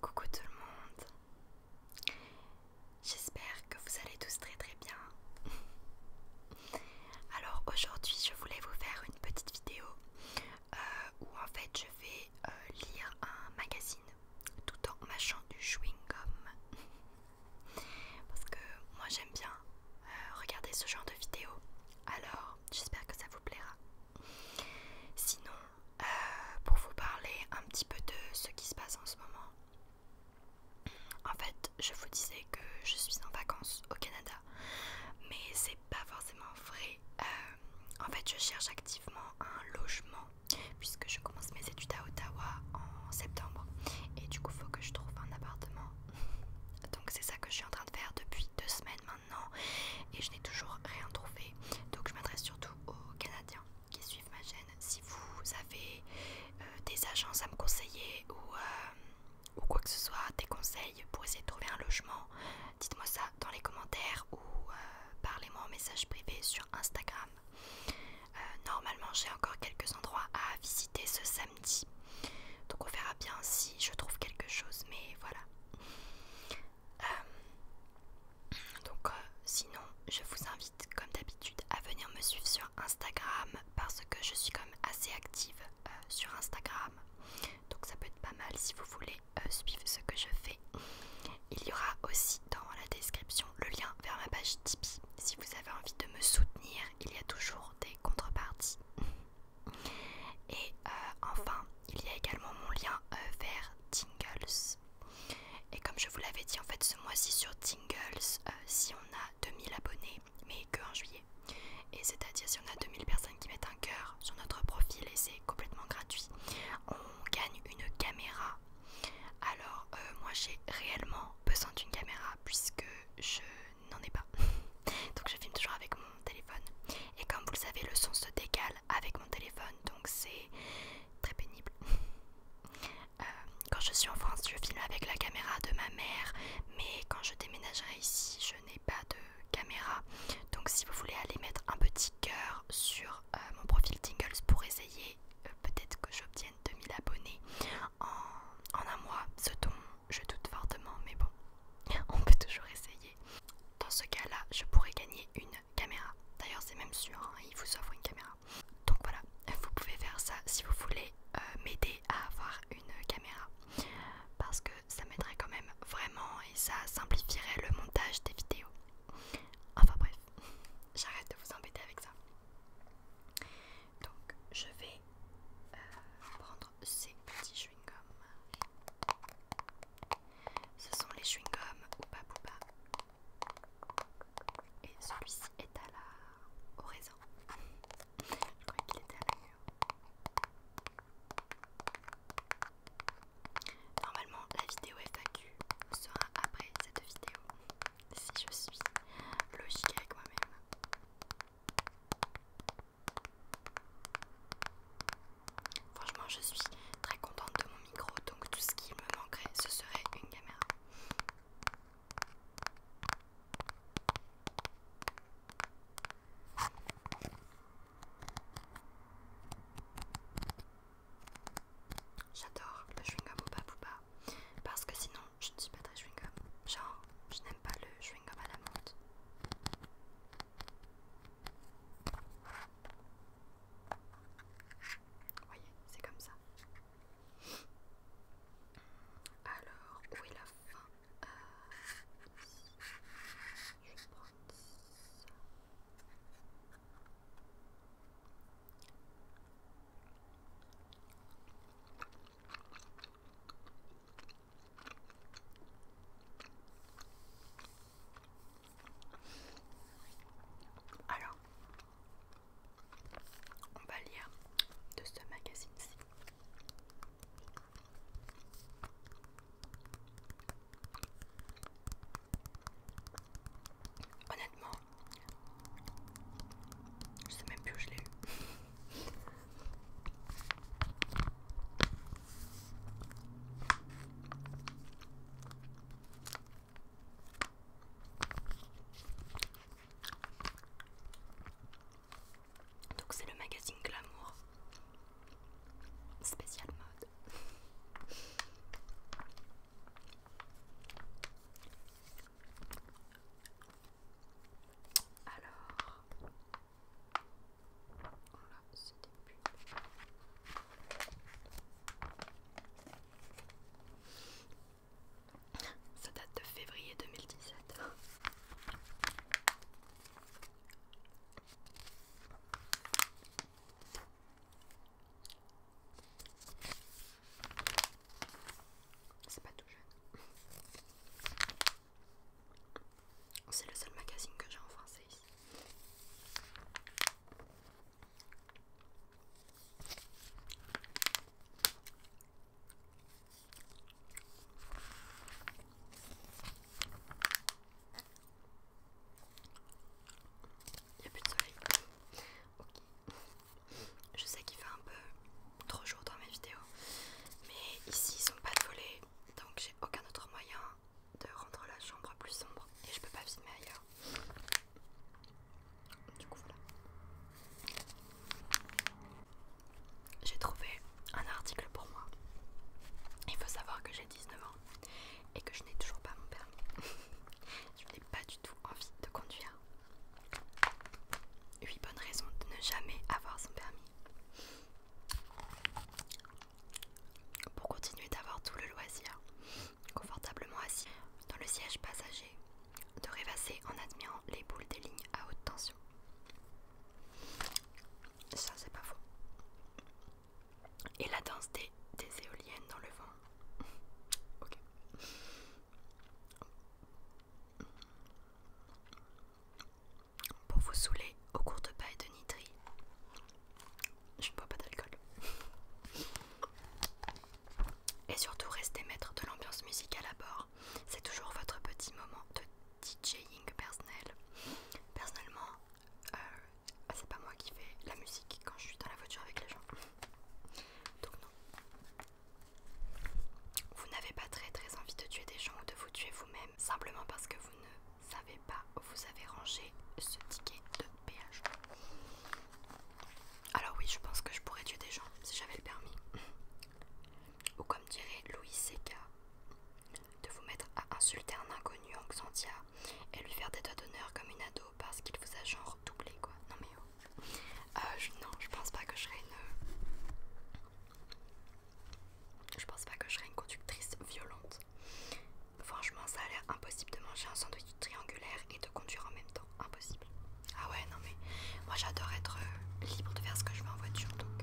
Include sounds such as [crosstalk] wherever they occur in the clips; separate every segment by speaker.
Speaker 1: Coucou tout le monde, j'espère que vous allez tous très très bien. [laughs] Alors aujourd'hui je voulais vous faire une petite vidéo euh, où en fait je vais euh, lire un magazine tout en mâchant du chewing-gum. Parce que moi j'aime bien euh, regarder ce genre de vidéos. Alors j'espère que ça vous plaira. Sinon, euh, pour vous parler un petit peu de ce qui se passe en ce moment. En fait, je vous disais que je suis en vacances au Canada, mais c'est pas forcément vrai. Euh, en fait, je cherche activement un logement puisque je commence mes études à Ottawa en septembre et du coup faut que je trouve un appartement [laughs] donc c'est ça que je suis en train de faire depuis deux semaines maintenant et je n'ai toujours rien trouvé donc je m'adresse surtout aux Canadiens qui suivent ma chaîne si vous avez euh, des agences à me conseiller euh, ou quoi que ce soit des conseils pour essayer de trouver un logement dites moi ça dans les commentaires ou euh, parlez-moi en message privé sur Instagram. Euh, normalement, j'ai encore quelques endroits à visiter ce samedi. Donc on verra bien si je trouve quelque chose, mais voilà. Euh, donc sinon, je vous invite comme d'habitude à venir me suivre sur Instagram parce que je suis quand même assez active sur Instagram. Donc ça peut être pas mal si vous voulez euh, suivre ce que je fais. Il y aura aussi dans la description le lien vers ma page Tipeee. Si vous avez envie de me soutenir, il y a toujours des contreparties. Et euh, enfin, il y a également mon lien euh, vers Tingles. Et comme je vous l'avais dit, en fait, ce mois-ci sur Tingles, si on a 2000 abonnés, mais que en juillet, et c'est-à-dire si on a 2000 personnes qui mettent un cœur sur notre profil et c'est complètement gratuit, on gagne une caméra alors euh, moi j'ai réellement besoin d'une caméra puisque je n'en ai pas. [laughs] donc je filme toujours avec mon téléphone. Et comme vous le savez le son se décale avec mon téléphone donc c'est très pénible. [laughs] Euh, quand je suis en France je filme avec la caméra de ma mère mais quand je déménagerai ici je n'ai pas de caméra. Donc si vous voulez aller mettre un petit cœur sur euh, mon profil Tingles pour essayer. Euh, peut-être que j'obtienne 2000 abonnés en, un mois. Ce dont je doute fortement, mais bon, [laughs] on peut toujours essayer. Dans ce cas-là, je pourrais gagner une caméra. D'ailleurs, c'est même sûr, hein, il vous offre une caméra. Donc voilà, vous pouvez faire ça si vous voulez euh, m'aider à avoir une caméra. Parce que ça m'aiderait quand même vraiment et ça simplifierait le montage des vidéos. Enfin bref. J'arrête de vous embêter avec ça. Donc, je vais euh, prendre ces petits chewing-gums. Ce sont les chewing-gums Oupa pas. Et celui-ci est à la... au Je croyais qu'il était à la mûre. Normalement, la vidéo FAQ sera après cette vidéo, si je suis logique avec moi-même. Franchement, je suis très contente de mon micro, donc tout ce qui me manquerait, ce serait une caméra. J'adore le chewing-gum ou pas parce que sinon je ne suis pas très chewing-gum. Genre, je n'aime pas le chewing-gum à la menthe. Vous voyez, c'est comme ça. Alors, où est la fin euh, alors, on va lire de ce magazine-ci. Honnêtement, je sais même plus où je l'ai eu. Donc c'est le magazine Glamour spécial mode. Alors, voilà, c'était plus. Ça date de février 2017. C'est pas tout jeune. C'est le seul magazine que j'ai en français ici. Il n'y a plus de soleil. Ok. Je sais qu'il fait un peu trop chaud dans mes vidéos. Mais ici, ils sont pas volés, Donc j'ai aucun autre moyen de rendre la chambre plus sombre. Et je peux pas filmer ailleurs. Du coup, voilà. J'ai trouvé un article pour moi. Il faut savoir que j'ai 19 ans et que je n'ai toujours pas mon permis. [laughs] pas du tout envie de conduire. 8 bonnes raisons de ne jamais avoir son permis. Pour continuer d'avoir tout le loisir, confortablement assis dans le siège passager, de rêvasser en admirant les boules des lignes à haute tension. Ça, c'est pas faux et la danse des, éoliennes dans le vent. [laughs] ok. Pour vous saouler au cours de paille de nitri. Je ne bois pas d'alcool. [laughs] Et surtout, restez maître de l'ambiance musicale à bord. C'est toujours votre petit moment de DJing personnel. Personnellement, euh, ah, c'est pas moi qui fais la musique quand je suis dans la voiture avec les gens. Donc non. Vous n'avez pas très très envie de tuer des gens ou de vous tuer vous-même, simplement parce que vous ne savez pas où vous avez rangé ce ticket de péage. Alors oui, je pense que je pourrais tuer des gens si j'avais le permis. Ou comme dirait Louis Seca, de vous mettre à insulter un inconnu en Xantia et lui faire des doigts d'honneur comme une ado parce qu'il vous a genre doublé quoi. Non mais oh. euh, non, je pense pas que je serais une... Euh, je pense pas que je serais une conductrice violente. Franchement, ça a l'air impossible de manger un sandwich triangulaire et de conduire en même temps. Impossible. Ah ouais, non mais moi j'adore être euh, libre de faire ce que je veux en voiture donc.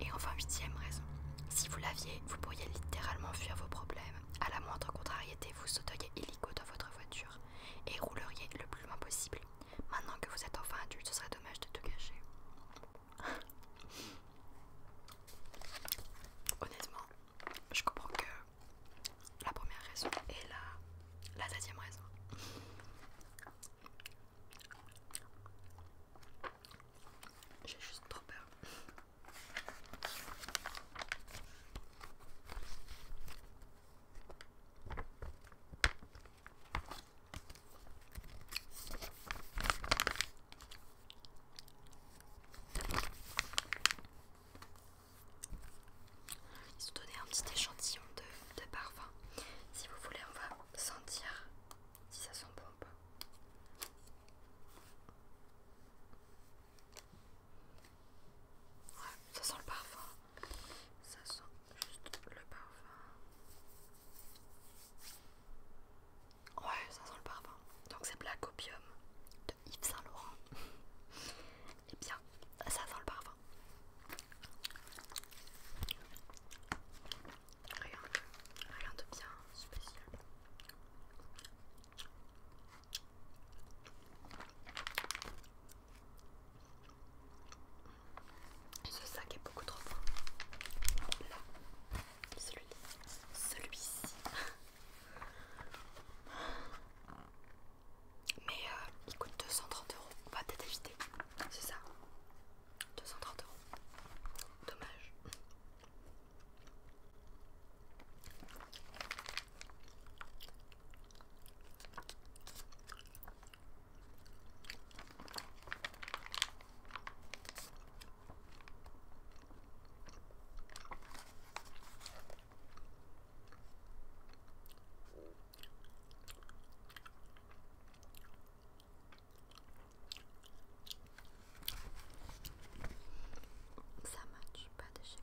Speaker 1: Et enfin, huitième raison. Si vous l'aviez, vous pourriez littéralement fuir vos problèmes. À la moindre contrariété, vous sautez dans votre voiture et rouleriez le plus loin possible. Maintenant que vous êtes enfin adulte, ce serait dommage de tout gâcher. Honnêtement, je comprends que la première raison est la deuxième raison. J'ai juste trop peur. Ils ont donné un petit échantillon de, de parfum. Si vous voulez, on va sentir si ça sent bon ou pas. Ouais, ça sent le parfum. Ça sent juste le parfum. Ouais, ça sent le parfum. Donc c'est Black Opium de Yves Saint Laurent. [laughs] Et eh bien, ça sent le parfum. Rien de, rien de bien spécial. Ce sac est beaucoup trop fin, celui-ci. Celui [laughs] ci Mais euh, il coûte 230 euros. On va peut-être C'est ça. 230 euros. Dommage. Ça marche pas de chez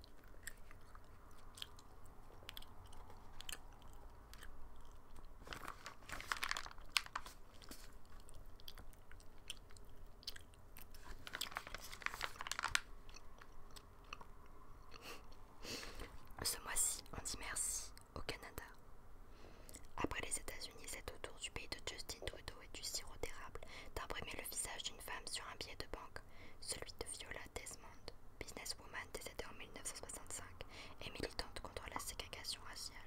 Speaker 1: Ce mois-ci, on dit merci au Canada. Après les États-Unis, c'est autour du pays de Justin Trudeau et du sirop d'érable d'imprimer le visage d'une femme sur un billet de banque, celui de Viola Desmond, businesswoman décédée en 1965 et militante contre la ségrégation raciale.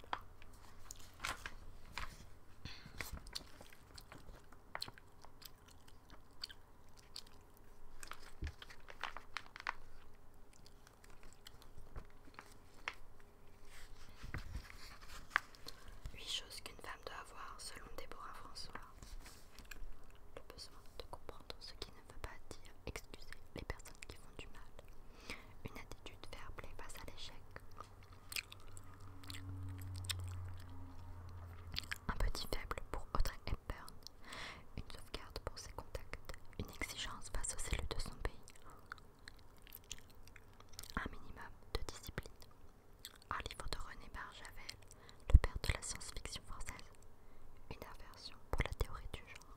Speaker 1: Huit choses qu'une femme doit avoir selon Déborah François. Le besoin de comprendre ce qui ne veut pas dire excuser les personnes qui font du mal. Une attitude verblée face à l'échec. Un petit faible pour Audrey Hepburn. Une sauvegarde pour ses contacts. Une exigence face aux élus de son pays. Un minimum de discipline. Un livre de René Barjavel, le père de la science-fiction française. Une inversion pour la théorie du genre.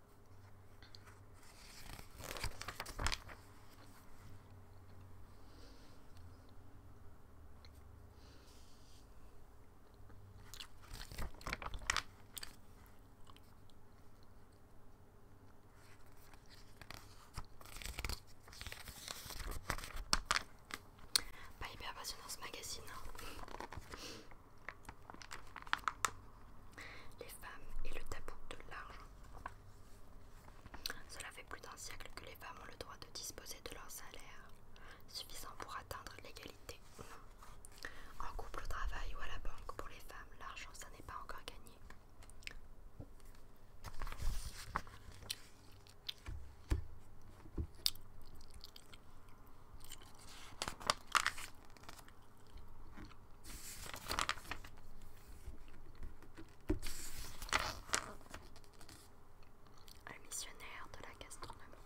Speaker 1: Pas hyper passionnant ce magazine. Hein. Les femmes et le tabou de l'argent. Cela fait plus d'un siècle que les femmes ont le droit de disposer de leur salaire, suffisant pour atteindre l'égalité En couple au travail ou à la banque, pour les femmes, l'argent, ça n'est pas encore gagné. Un missionnaire de la gastronomie.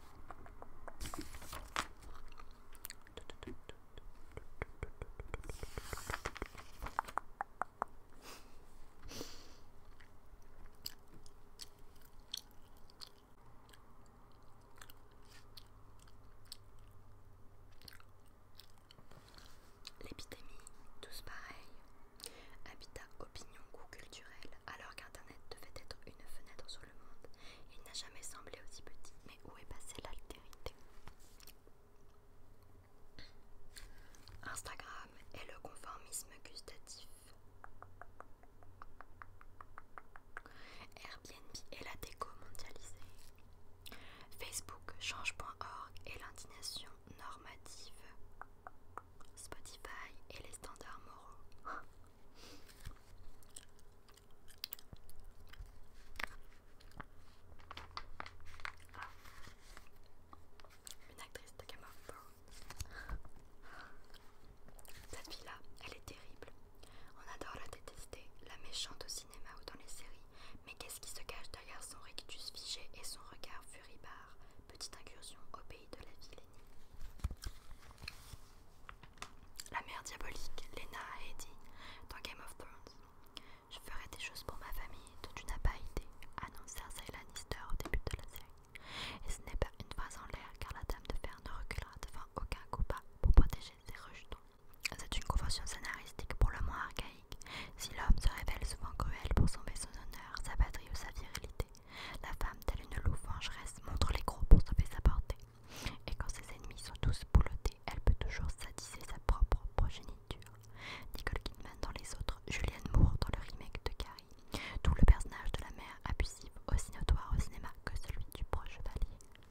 Speaker 1: L'épidémie, tous pareils, Habitat, opinion, goût culturel, alors qu'Internet devait être une fenêtre sur le monde. Il n'a jamais semblé aussi petit, mais où est passée l'altérité Instagram et le conformisme gustatif. BNB et la déco mondialisée. Facebook, change.org et l'indignation normative. Spotify et les standards moraux. Une actrice de gamme Cette fille-là, elle est terrible. On adore la détester, la méchante au cinéma ou dans les séries, mais qu'est-ce qui se cache derrière son rictus figé et son regard furibard Petite incursion au pays de la ville. La mère diabolique, Lena a dit dans Game of Thrones. Je ferai des choses pour ma famille dont tu n'as pas été, annoncé Cersei Lannister au début de la série. Et ce n'est pas une phrase en l'air car la dame de fer ne reculera devant aucun copain pour protéger ses rejetons c'est une convention scénaristique pour le moins archaïque. Si l'homme se révèle souvent cruel pour sauver son honneur, sa patrie ou sa virilité, la femme, telle une louve vengeresse, montre les gros pour sauver sa portée. Et quand ses ennemis sont tous boulotés, elle peut toujours sadiser sa propre progéniture. Nicole Kidman dans les autres, Julianne Moore dans le remake de Carrie, Tout le personnage de la mère abusive aussi notoire au cinéma que celui du proche chevalier.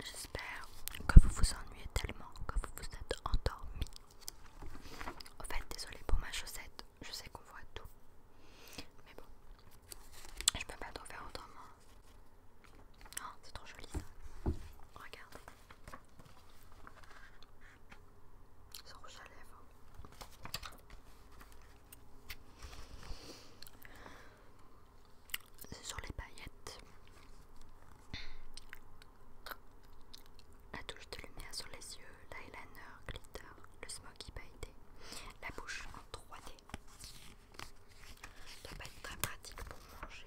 Speaker 1: J'espère que vous vous ennuyez tellement que vous vous êtes endormi au fait, désolé pour ma chaussette, je sais qu'on voit tout. Mais bon, je peux pas tout faire autrement. Oh, ah, c'est trop joli ça. Regardez. rouge à lèvres. C'est sur les paillettes. La touche de lumière sur les yeux, l'eyeliner, glitter, le smoky pailleté, la bouche en 3D. Ça va être très pratique pour manger.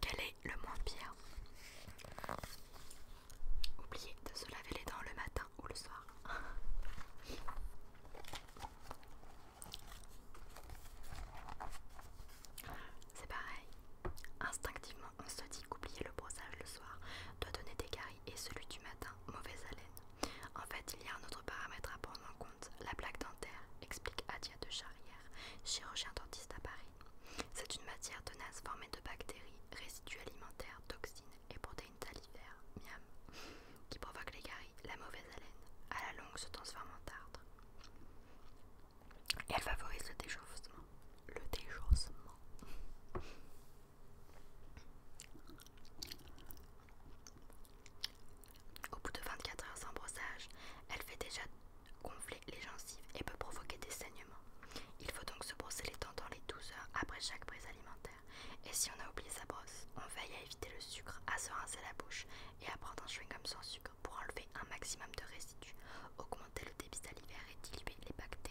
Speaker 1: Quel est le moins pire Oubliez de se laver les dents le matin le soir. [laughs] C'est pareil. Instinctivement, on se dit qu'oublier le brossage le soir doit donner des caries et celui du matin, mauvaise haleine. En fait, il y a un autre paramètre à prendre en compte, la plaque dentaire, explique Adia de Charrière, chirurgien dentiste à Paris. C'est une matière tenace formée de bactéries, résidus alimentaires, toxines et protéines une salivaire, miam, qui provoque les caries, la mauvaise haleine, à la longue se transforme en tartre. elle favorise le déchaussement. Le déchaussement. Au bout de 24 heures sans brossage, elle fait déjà gonfler les gencives et peut provoquer des saignements. Il faut donc se brosser les dents dans les 12 heures après chaque prise alimentaire. Et si on a oublié sa brosse, on veille à éviter le sucre, à se rincer la bouche et à prendre un chewing-gum sans sucre pour enlever un maximum de résidus, augmenter le débit salivaire et diluer les bactéries.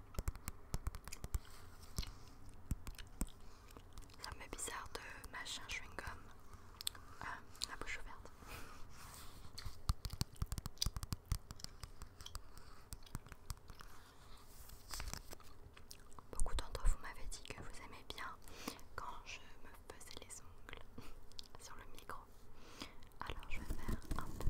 Speaker 1: Ça me fait bizarre de machin chewing-gum euh, la bouche ouverte. Beaucoup d'entre vous m'avez dit que vous aimez bien quand je me faisais les ongles [laughs] sur le micro. Alors je vais faire un peu